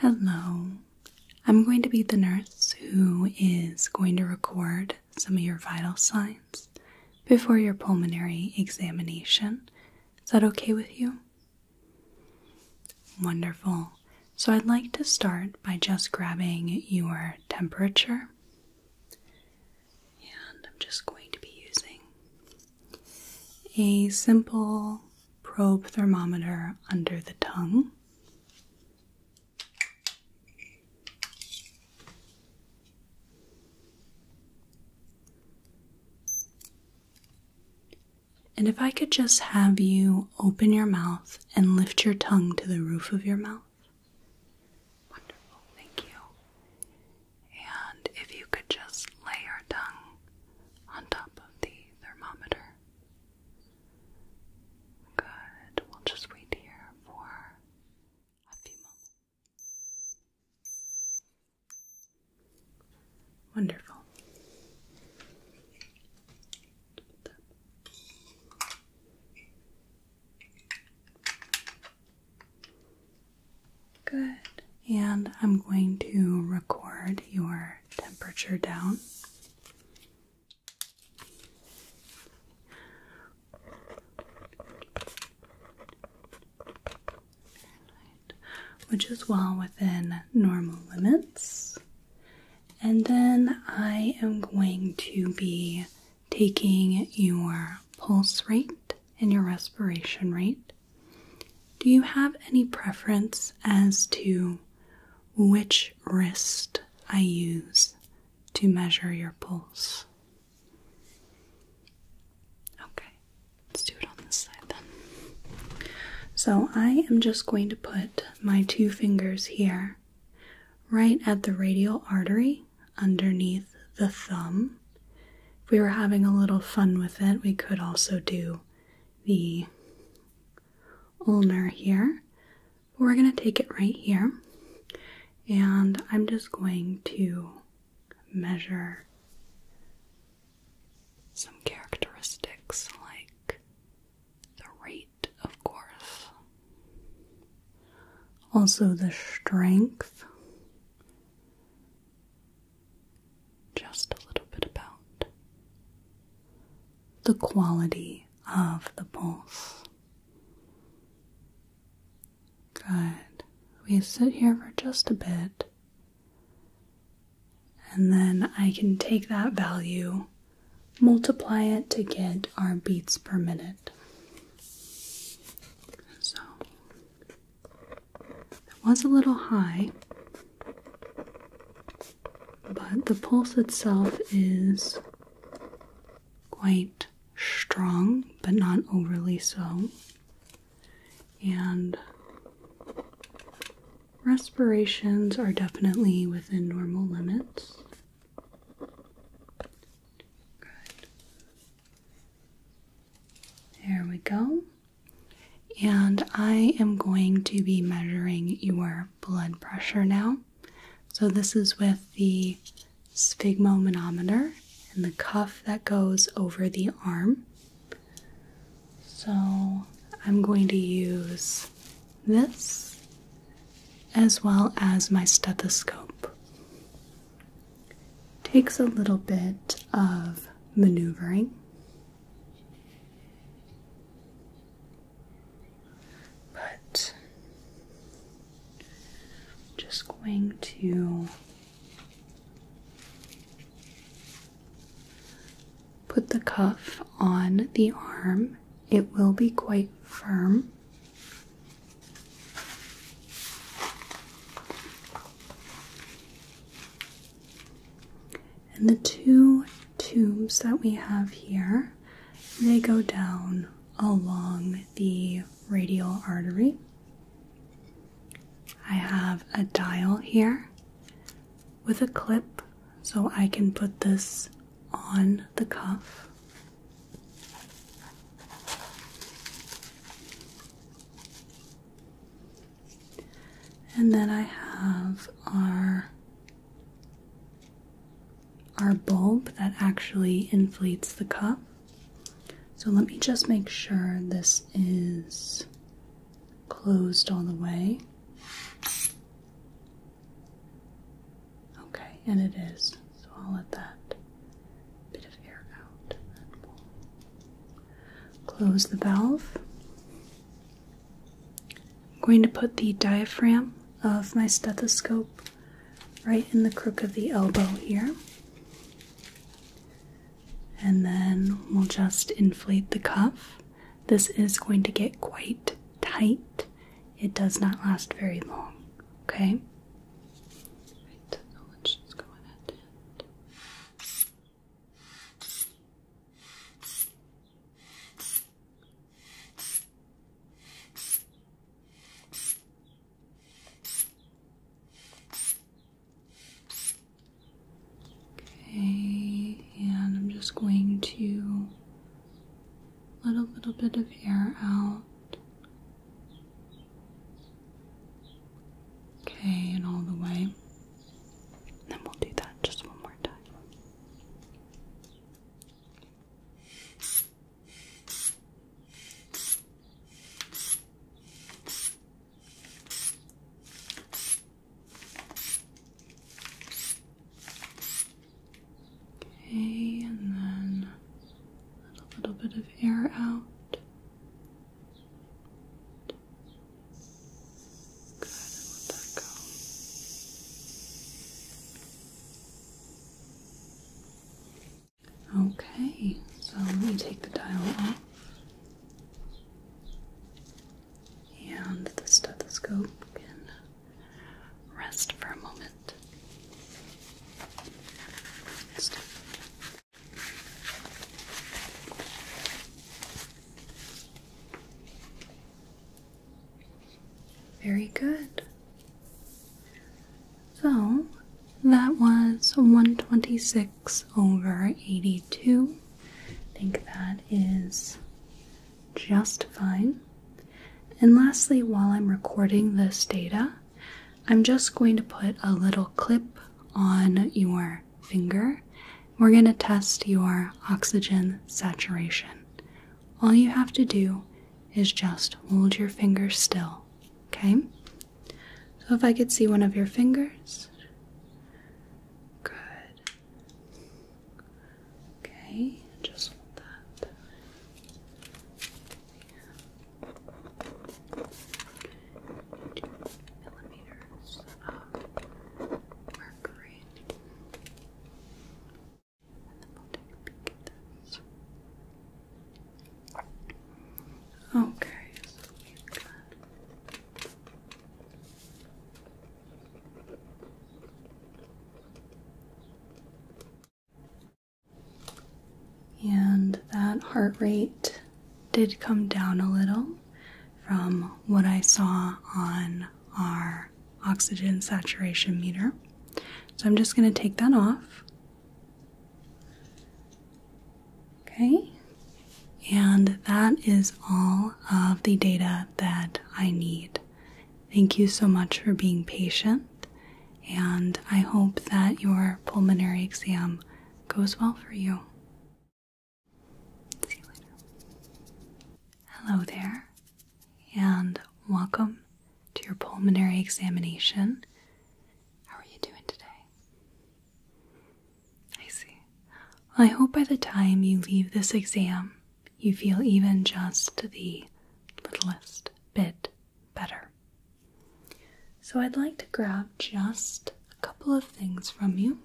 Hello. I'm going to be the nurse who is going to record some of your vital signs before your pulmonary examination. Is that okay with you? Wonderful. So I'd like to start by just grabbing your temperature. And I'm just going to be using a simple probe thermometer under the tongue. And if I could just have you open your mouth and lift your tongue to the roof of your mouth. Wonderful, thank you. And if you could just lay your tongue on top of the thermometer. Good. We'll just wait here for a few moments. Wonderful. Good. And I'm going to record your temperature down. Which is well within normal limits. And then I am going to be taking your pulse rate and your respiration rate. Do you have any preference as to which wrist I use to measure your pulse? Okay, let's do it on this side then. So I am just going to put my two fingers here, right at the radial artery underneath the thumb. If we were having a little fun with it, we could also do the ulnar here. But we're going to take it right here. And I'm just going to measure some characteristics like the rate, of course, also the strength just a little bit about the quality of the pulse. Good. We sit here for just a bit, and then I can take that value, multiply it to get our beats per minute. So, it was a little high, but the pulse itself is quite strong, but not overly so. And respirations are definitely within normal limits. There we go. And I am going to be measuring your blood pressure now. So, this is with the sphygmomanometer and the cuff that goes over the arm. So, I'm going to use this as well as my stethoscope. Takes a little bit of maneuvering. But just going to put the cuff on the arm. It will be quite firm. And the two tubes that we have here, they go down along the radial artery. I have a dial here with a clip so I can put this on the cuff. And then I have our our bulb that actually inflates the cup. So let me just make sure this is closed all the way. Okay, and it is. So I'll let that bit of air out close the valve. I'm going to put the diaphragm of my stethoscope right in the crook of the elbow here. And then we'll just inflate the cuff. This is going to get quite tight. It does not last very long, okay? Okay, and I'm just going to let a little bit of air out. Okay, and all the way. And then we'll do that just one more time. Okay, and then a little bit of air out. Okay, so let me take the dial off. And the stethoscope can rest for a moment. Very good. So that was 126 over 82. I think that is just fine. And lastly, while I'm recording this data, I'm just going to put a little clip on your finger we're going to test your oxygen saturation. All you have to do is just hold your finger still, okay? So if I could see one of your fingers. Good. Okay, just hold that. Two millimeters of mercury. Okay, and that heart rate did come down a little from what I saw on our oxygen saturation meter. So I'm just going to take that off. Okay, and that is all of the data that I need. Thank you so much for being patient, and I hope that your pulmonary exam goes well for you. Hello there, and welcome to your pulmonary examination. How are you doing today? I see. I hope by the time you leave this exam, you feel even just the littlest bit better. So, I'd like to grab just a couple of things from you.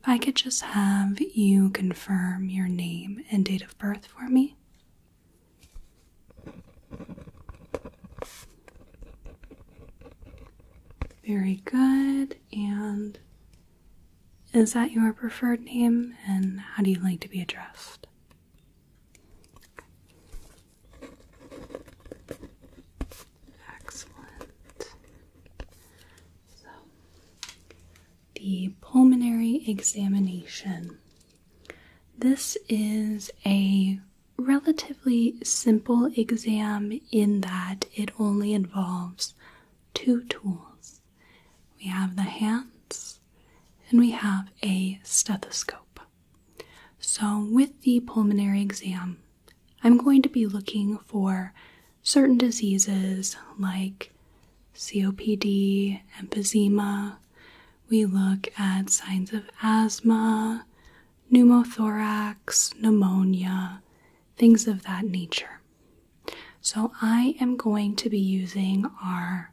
If I could just have you confirm your name and date of birth for me. Very good. And is that your preferred name? And how do you like to be addressed? Excellent. So, the pulmonary examination. This is a relatively simple exam in that it only involves two tools. We have the hands and we have a stethoscope. So, with the pulmonary exam, I'm going to be looking for certain diseases like COPD, emphysema. We look at signs of asthma, pneumothorax, pneumonia, things of that nature. So, I am going to be using our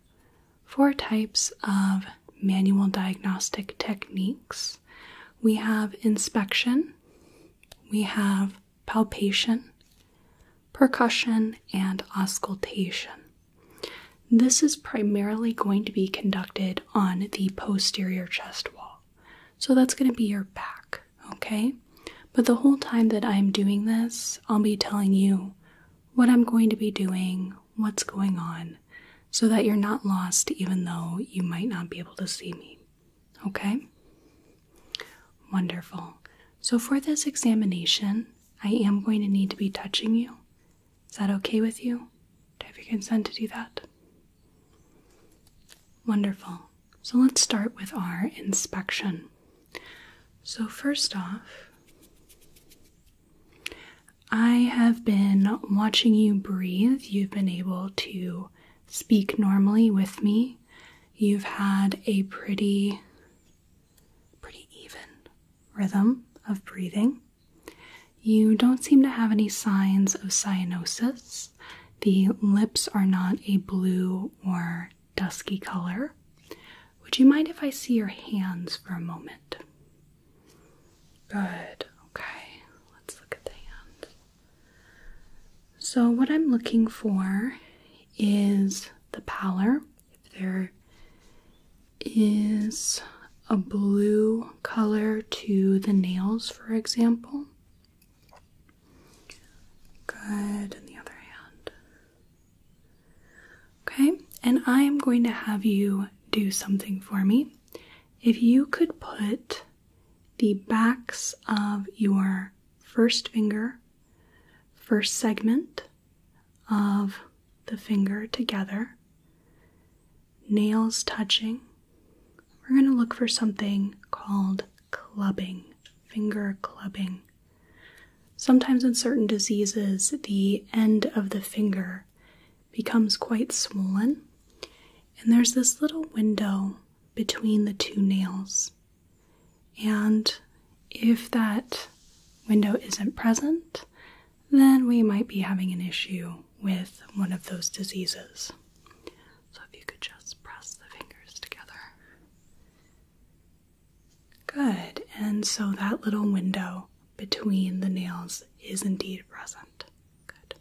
four types of manual diagnostic techniques. We have inspection, we have palpation, percussion, and auscultation. This is primarily going to be conducted on the posterior chest wall. So that's going to be your back, okay? But the whole time that I'm doing this, I'll be telling you what I'm going to be doing, what's going on, so that you're not lost even though you might not be able to see me. Okay? Wonderful. So, for this examination, I am going to need to be touching you. Is that okay with you? Do you have your consent to do that? Wonderful. So, let's start with our inspection. So, first off, I have been watching you breathe. You've been able to speak normally with me. You've had a pretty pretty even rhythm of breathing. You don't seem to have any signs of cyanosis. The lips are not a blue or dusky color. Would you mind if I see your hands for a moment? Good. Okay. Let's look at the hands. So, what I'm looking for is the pallor. If there is a blue color to the nails, for example. Good, and the other hand. Okay, and I am going to have you do something for me. If you could put the backs of your first finger, first segment of the finger together, nails touching. We're going to look for something called clubbing, finger clubbing. Sometimes in certain diseases, the end of the finger becomes quite swollen, and there's this little window between the two nails. And if that window isn't present, then we might be having an issue with one of those diseases. So if you could just press the fingers together. Good, and so that little window between the nails is indeed present. Good.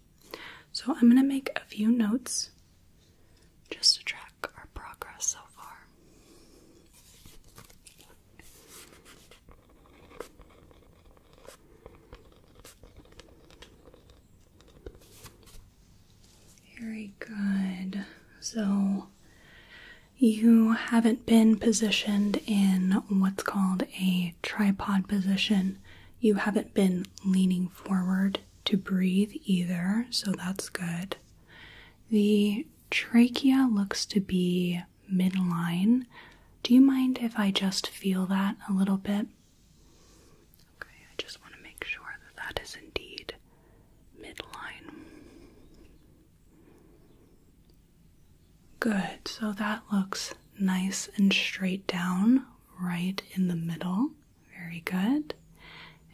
So I'm going to make a few notes just to track our progress so far. Very good. So you haven't been positioned in what's called a tripod position. You haven't been leaning forward to breathe either, so that's good. The trachea looks to be midline. Do you mind if I just feel that a little bit? Okay, I just want to make sure that that is indeed midline. Good, so that looks nice and straight down, right in the middle. Very good.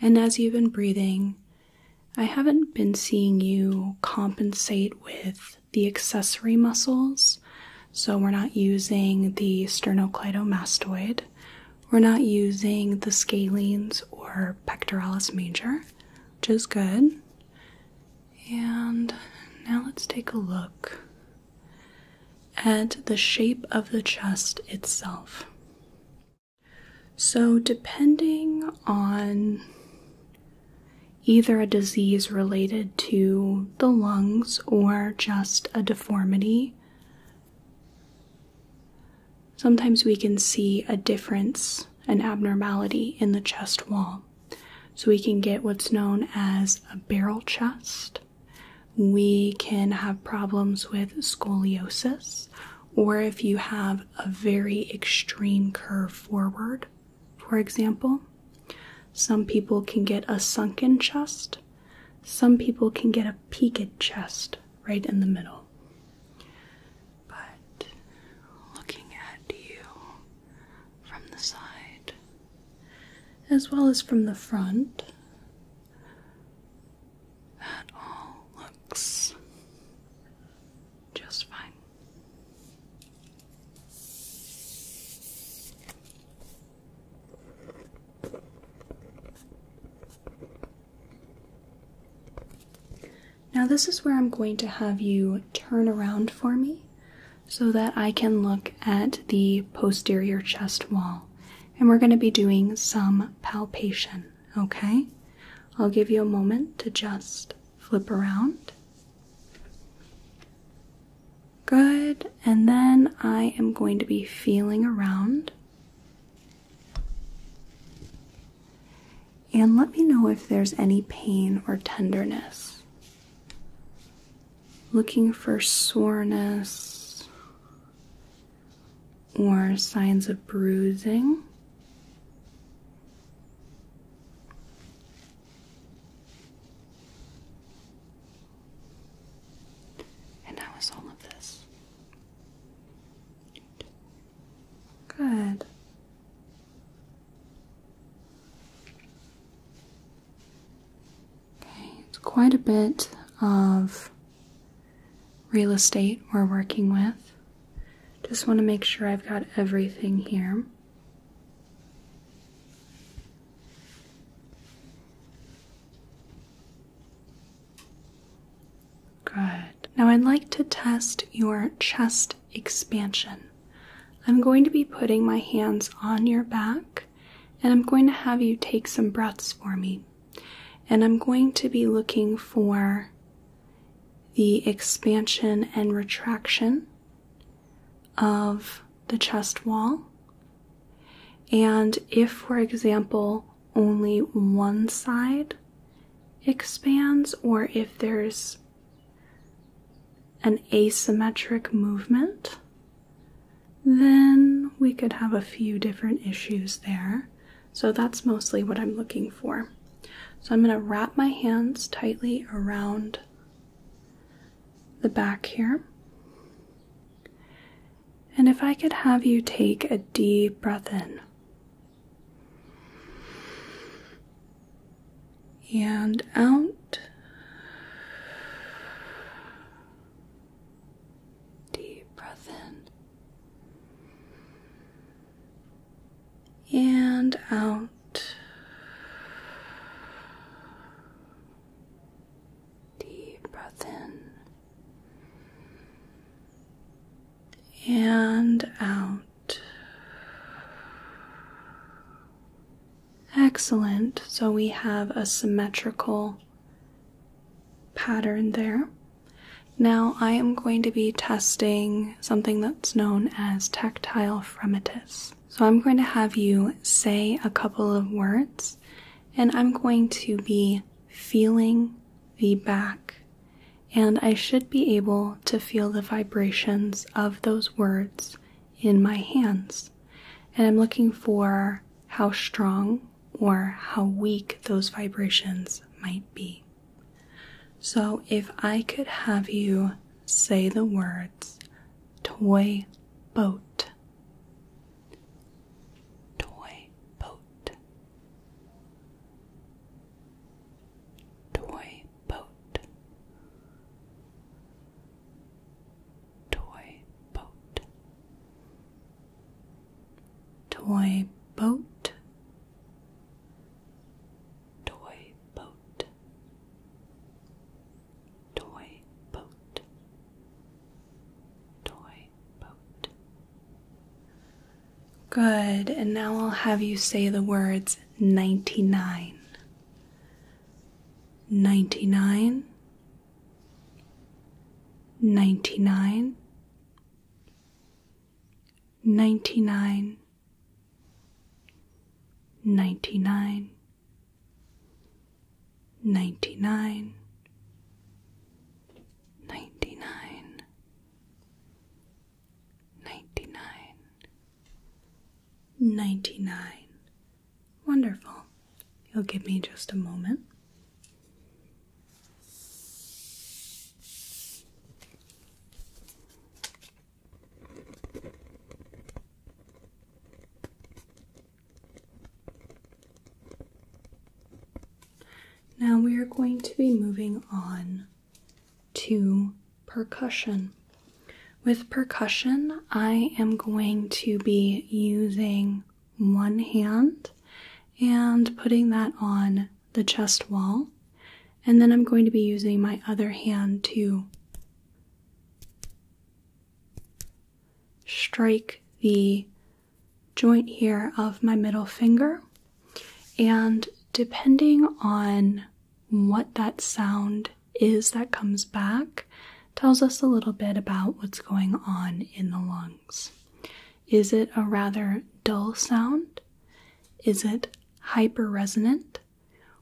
And as you've been breathing, I haven't been seeing you compensate with the accessory muscles. So we're not using the sternocleidomastoid, we're not using the scalenes or pectoralis major, which is good. And now let's take a look and the shape of the chest itself. So, depending on either a disease related to the lungs or just a deformity, sometimes we can see a difference, an abnormality in the chest wall. So, we can get what's known as a barrel chest we can have problems with scoliosis, or if you have a very extreme curve forward, for example. Some people can get a sunken chest, some people can get a peaked chest right in the middle. But looking at you from the side, as well as from the front, that all looks just fine. Now, this is where I'm going to have you turn around for me so that I can look at the posterior chest wall. And we're going to be doing some palpation, okay? I'll give you a moment to just flip around. Good, and then I am going to be feeling around. And let me know if there's any pain or tenderness looking for soreness or signs of bruising. And how is all of this? Good. Okay, it's quite a bit of real estate we're working with. Just want to make sure I've got everything here. Good. Now I'd like to test your chest expansion. I'm going to be putting my hands on your back and I'm going to have you take some breaths for me. And I'm going to be looking for the expansion and retraction of the chest wall. And if, for example, only one side expands, or if there's an asymmetric movement, then we could have a few different issues there. So that's mostly what I'm looking for. So I'm going to wrap my hands tightly around the back here. And if I could have you take a deep breath in and out Deep breath in and out. Deep breath in and out. Excellent. So we have a symmetrical pattern there. Now I am going to be testing something that's known as tactile fremitus. So I'm going to have you say a couple of words and I'm going to be feeling the back and I should be able to feel the vibrations of those words in my hands. And I'm looking for how strong or how weak those vibrations might be. So, if I could have you say the words toy boat, toy boat, toy boat, toy boat, Toy boat, toy boat, toy boat, toy boat. Good, and now I'll have you say the words 99. 99 ninety nine, ninety nine, ninety nine, ninety nine, ninety nine, ninety nine, ninety nine. Wonderful. You'll give me just a moment. Now we are going to be moving on to percussion. With percussion, I am going to be using one hand and putting that on the chest wall. And then I'm going to be using my other hand to strike the joint here of my middle finger. And depending on what that sound is that comes back, tells us a little bit about what's going on in the lung. Is it a rather dull sound? Is it hyper resonant,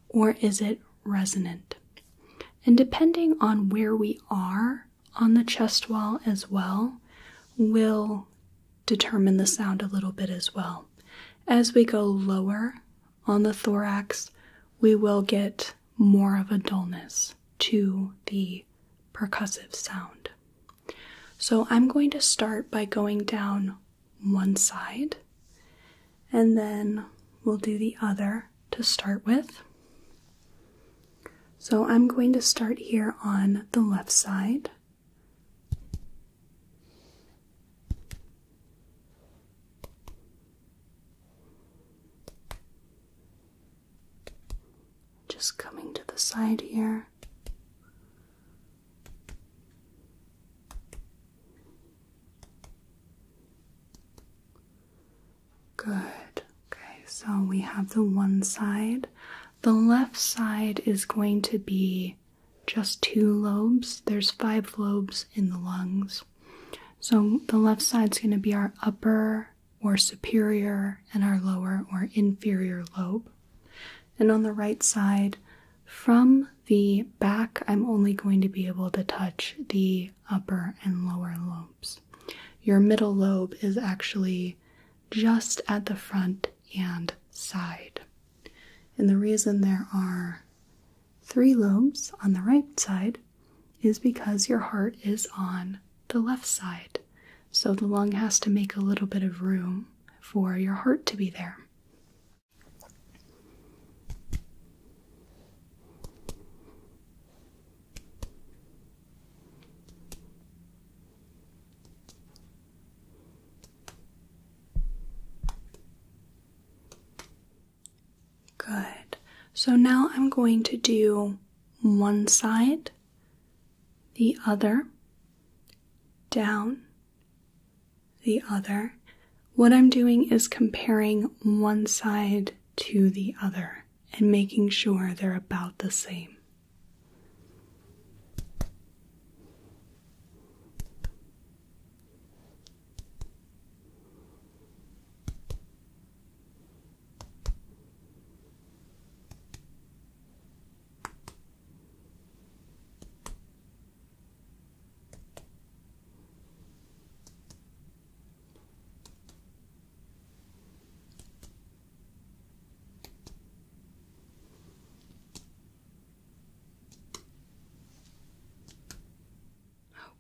Or is it resonant? And depending on where we are on the chest wall as well, will determine the sound a little bit as well. As we go lower on the thorax, we will get more of a dullness to the percussive sound. So I'm going to start by going down one side and then we'll do the other to start with. So I'm going to start here on the left side. Just coming to the side here. Good. Okay, so we have the one side. The left side is going to be just two lobes. There's five lobes in the lungs. So the left side's going to be our upper or superior and our lower or inferior lobe. And on the right side, from the back, I'm only going to be able to touch the upper and lower lobes. Your middle lobe is actually just at the front and side. And the reason there are three lobes on the right side is because your heart is on the left side. So the lung has to make a little bit of room for your heart to be there. Good. So now I'm going to do one side the other, down, the other. What I'm doing is comparing one side to the other and making sure they're about the same.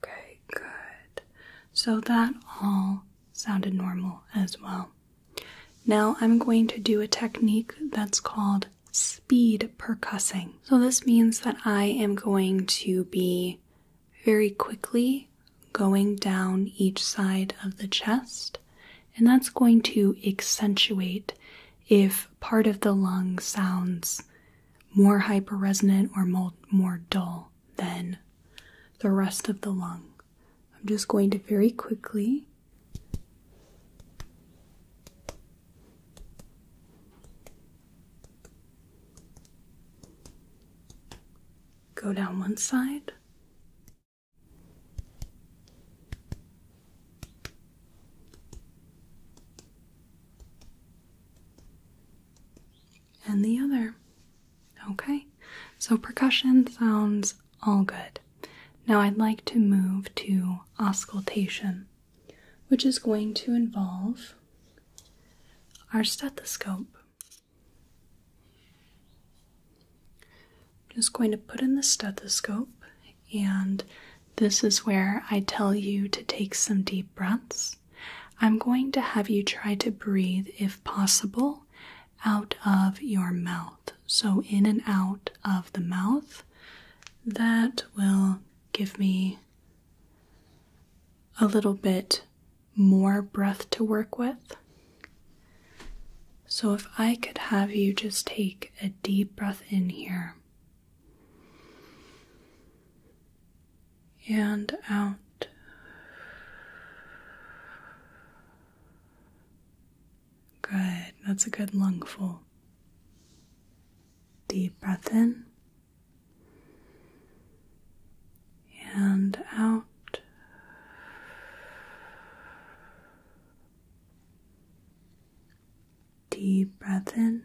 Okay, good. So that all sounded normal as well. Now I'm going to do a technique that's called speed percussing. So this means that I am going to be very quickly going down each side of the chest, and that's going to accentuate if part of the lung sounds more hyperresonant or more dull than the rest of the lung. I'm just going to very quickly go down one side. And the other. Okay, so percussion sounds all good. Now I'd like to move to auscultation, which is going to involve our stethoscope. I'm just going to put in the stethoscope, and this is where I tell you to take some deep breaths. I'm going to have you try to breathe if possible out of your mouth. So, in and out of the mouth, that will give me a little bit more breath to work with. So, if I could have you just take a deep breath in here and out. Good, that's a good lungful. Deep breath in and out. Deep breath in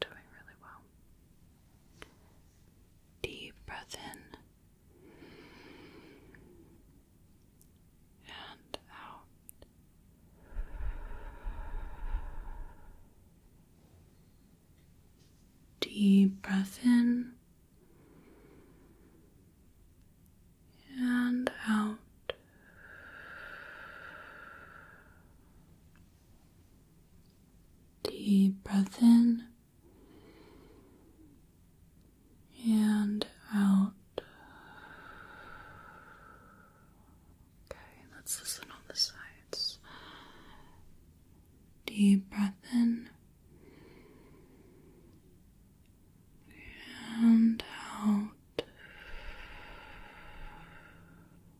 Doing really well. Deep breath in and out. Deep breath in and out. Deep breath in and out. Okay, let's listen on the sides. Deep breath in and out.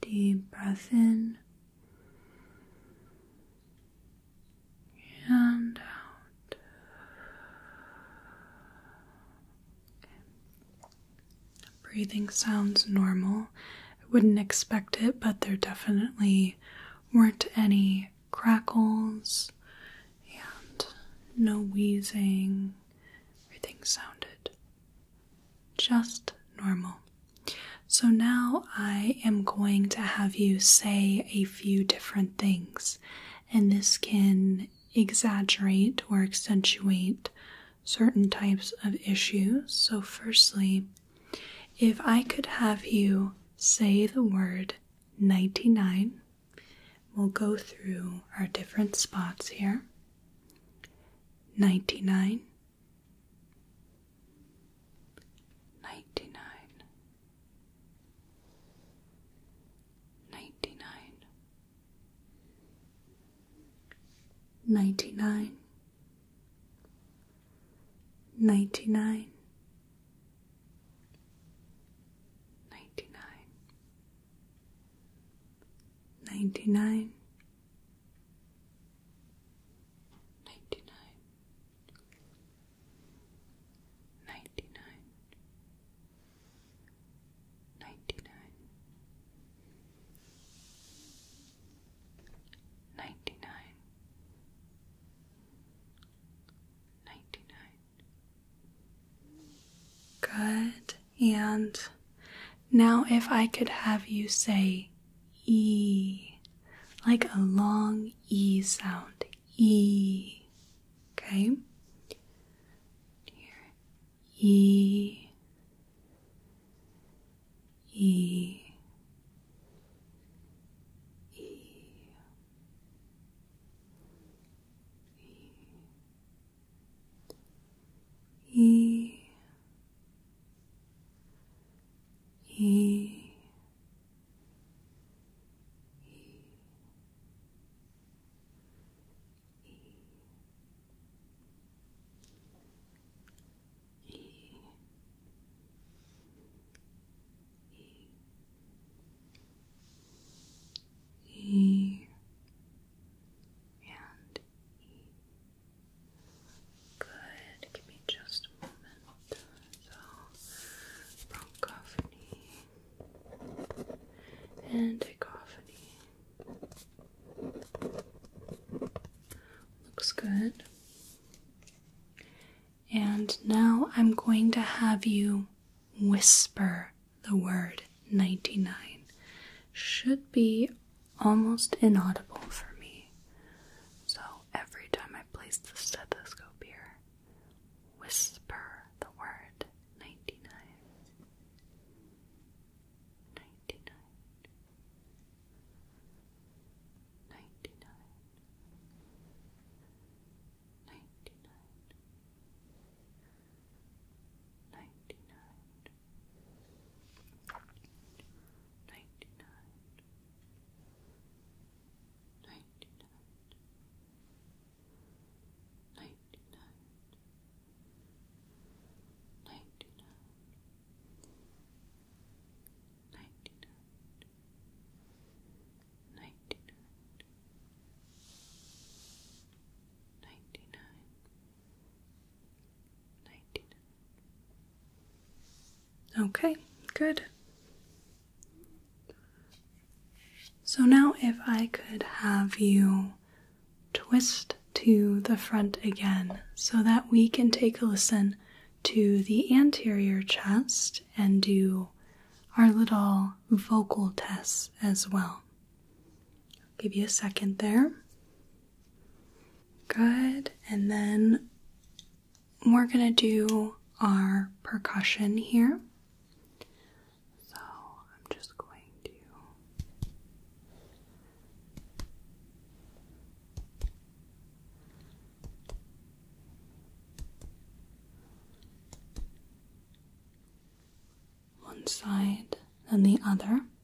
Deep breath in and out. Breathing sounds normal. I wouldn't expect it, but there definitely weren't any crackles and no wheezing. Everything sounded just normal. So now I am going to have you say a few different things, and this can exaggerate or accentuate certain types of issues. So, firstly, if I could have you say the word 99, we'll go through our different spots here. 99 ninety nine, ninety nine, ninety nine, ninety nine, ninety nine, ninety nine. Ninety nine. Ninety nine. Ninety nine. Ninety nine. Good, and now, if I could have you say E, like a long E sound, E, okay? Here, E, E, E. E. E. E, e, e, e, e, Good. Give me just a moment. bronchophony and echophony. Looks good. And now I'm going to have you whisper the word 99. Should be almost inaudible for me. So every time I place the stethoscope here, whisper the word 99 ninety nine, ninety nine, ninety nine, ninety nine, ninety nine, ninety nine. 99 99 99 Okay, good. So now, if I could have you twist to the front again so that we can take a listen to the anterior chest and do our little vocal tests as well. I'll give you a second there. Good. And then we're going to do our percussion here. So I'm just going to. One side, and the other.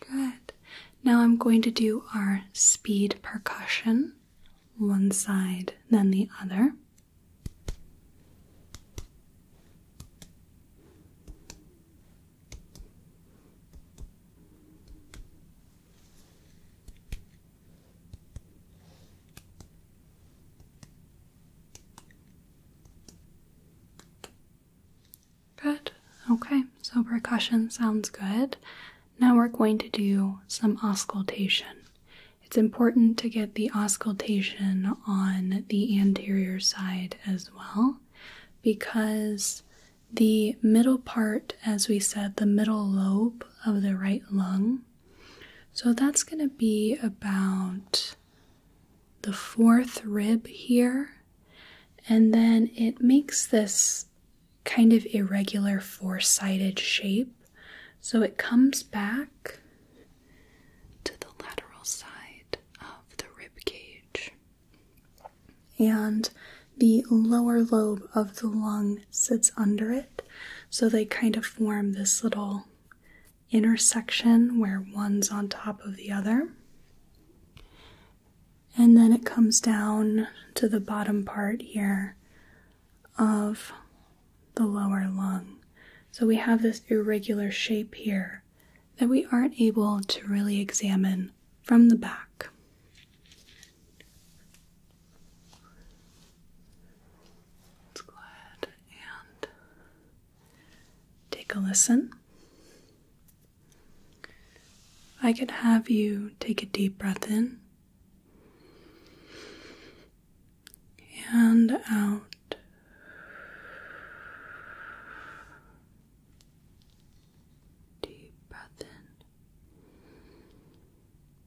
Good. Now I'm going to do our speed percussion, one side, then the other. Good. Okay, so percussion sounds good. Now we're going to do some auscultation. It's important to get the auscultation on the anterior side as well because the middle part, as we said, the middle lobe of the right lung so that's going to be about the fourth rib here, and then it makes this kind of irregular four sided shape. So it comes back to the lateral side of the rib cage, and the lower lobe of the lung sits under it. So they kind of form this little intersection where one's on top of the other. And then it comes down to the bottom part here of the lower lung. So we have this irregular shape here that we aren't able to really examine from the back. Let's go ahead and take a listen. I could have you take a deep breath in and out. Deep breath in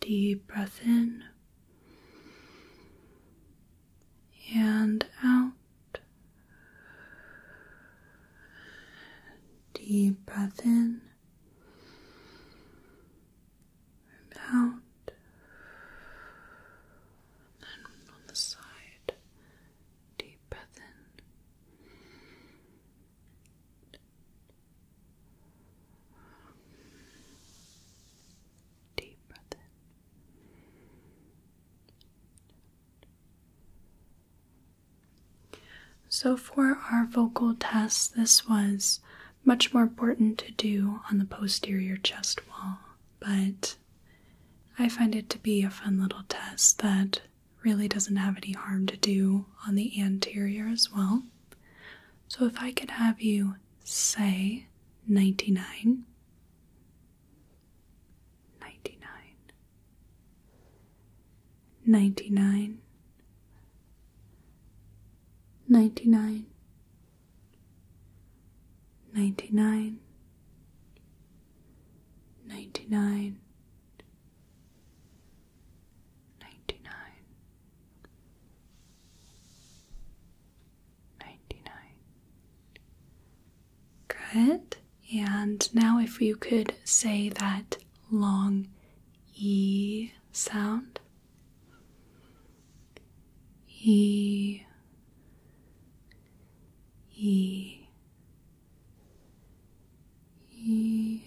Deep breath in and out. Deep breath in and out. And then on the side, deep breath in Deep breath So, for our vocal test, this was much more important to do on the posterior chest wall, but I find it to be a fun little test that really doesn't have any harm to do on the anterior as well. So if I could have you say 99, 99, 99, 99, 99, ninety nine, ninety nine. Good. And now, if you could say that long E sound. E, E, E,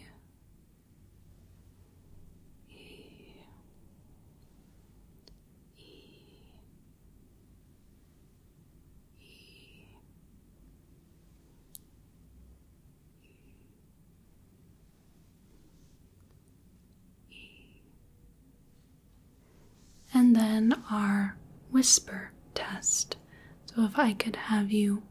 and then our whisper test. So, if I could have you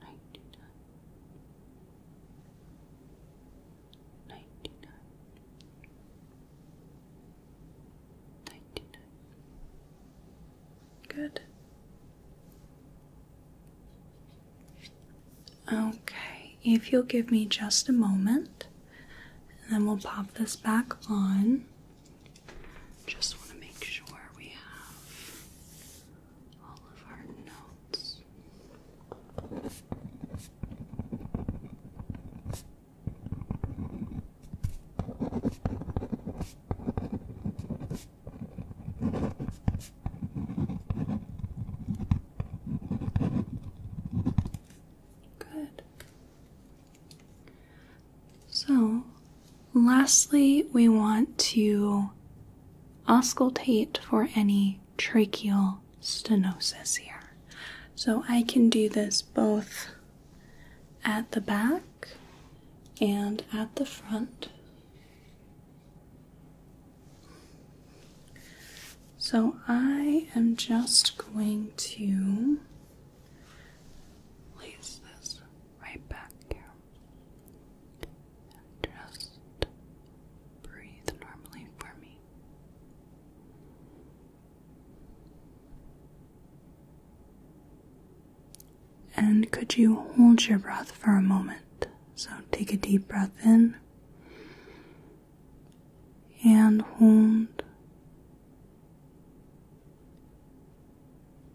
ninety nine, ninety nine, ninety nine. Good. Okay, if you'll give me just a moment, and then we'll pop this back on. Just want to make sure we have all of our notes. Good. So, lastly, we want to auscultate for any tracheal stenosis here. So I can do this both at the back and at the front. So I am just going to place this right back here. Just breathe normally for me. And could you hold your breath for a moment? So take a deep breath in and hold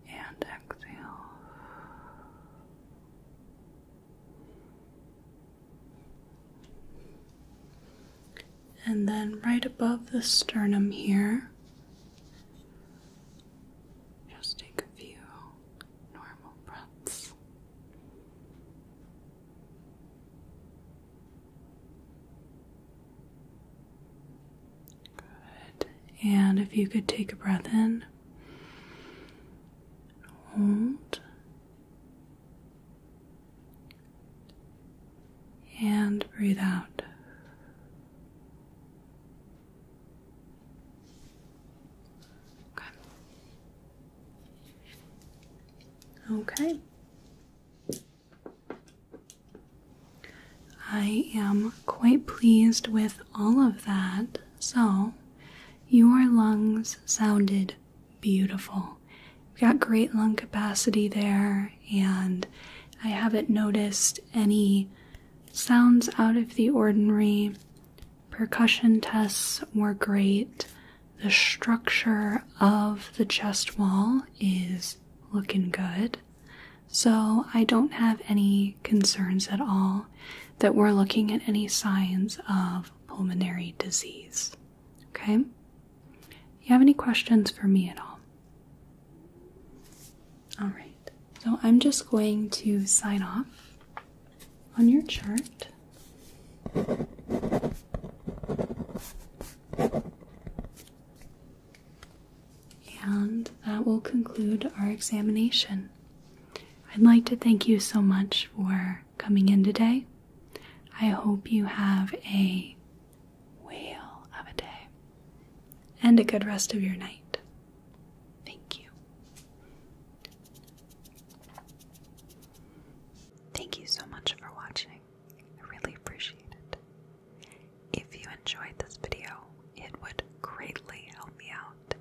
and exhale. And then right above the sternum here, just take a few normal breaths. Good. And if you could take a breath in hold and breathe out. Okay. okay. I am quite pleased with all of that. So, your lungs sounded beautiful. You've got great lung capacity there, and I haven't noticed any sounds out of the ordinary. Percussion tests were great. The structure of the chest wall is looking good. So, I don't have any concerns at all that we're looking at any signs of pulmonary disease. Okay? You have any questions for me at all? All right. So I'm just going to sign off on your chart. And that will conclude our examination. I'd like to thank you so much for coming in today. I hope you have a whale of a day and a good rest of your night. Thank you. Thank you so much for watching. I really appreciate it. If you enjoyed this video, it would greatly help me out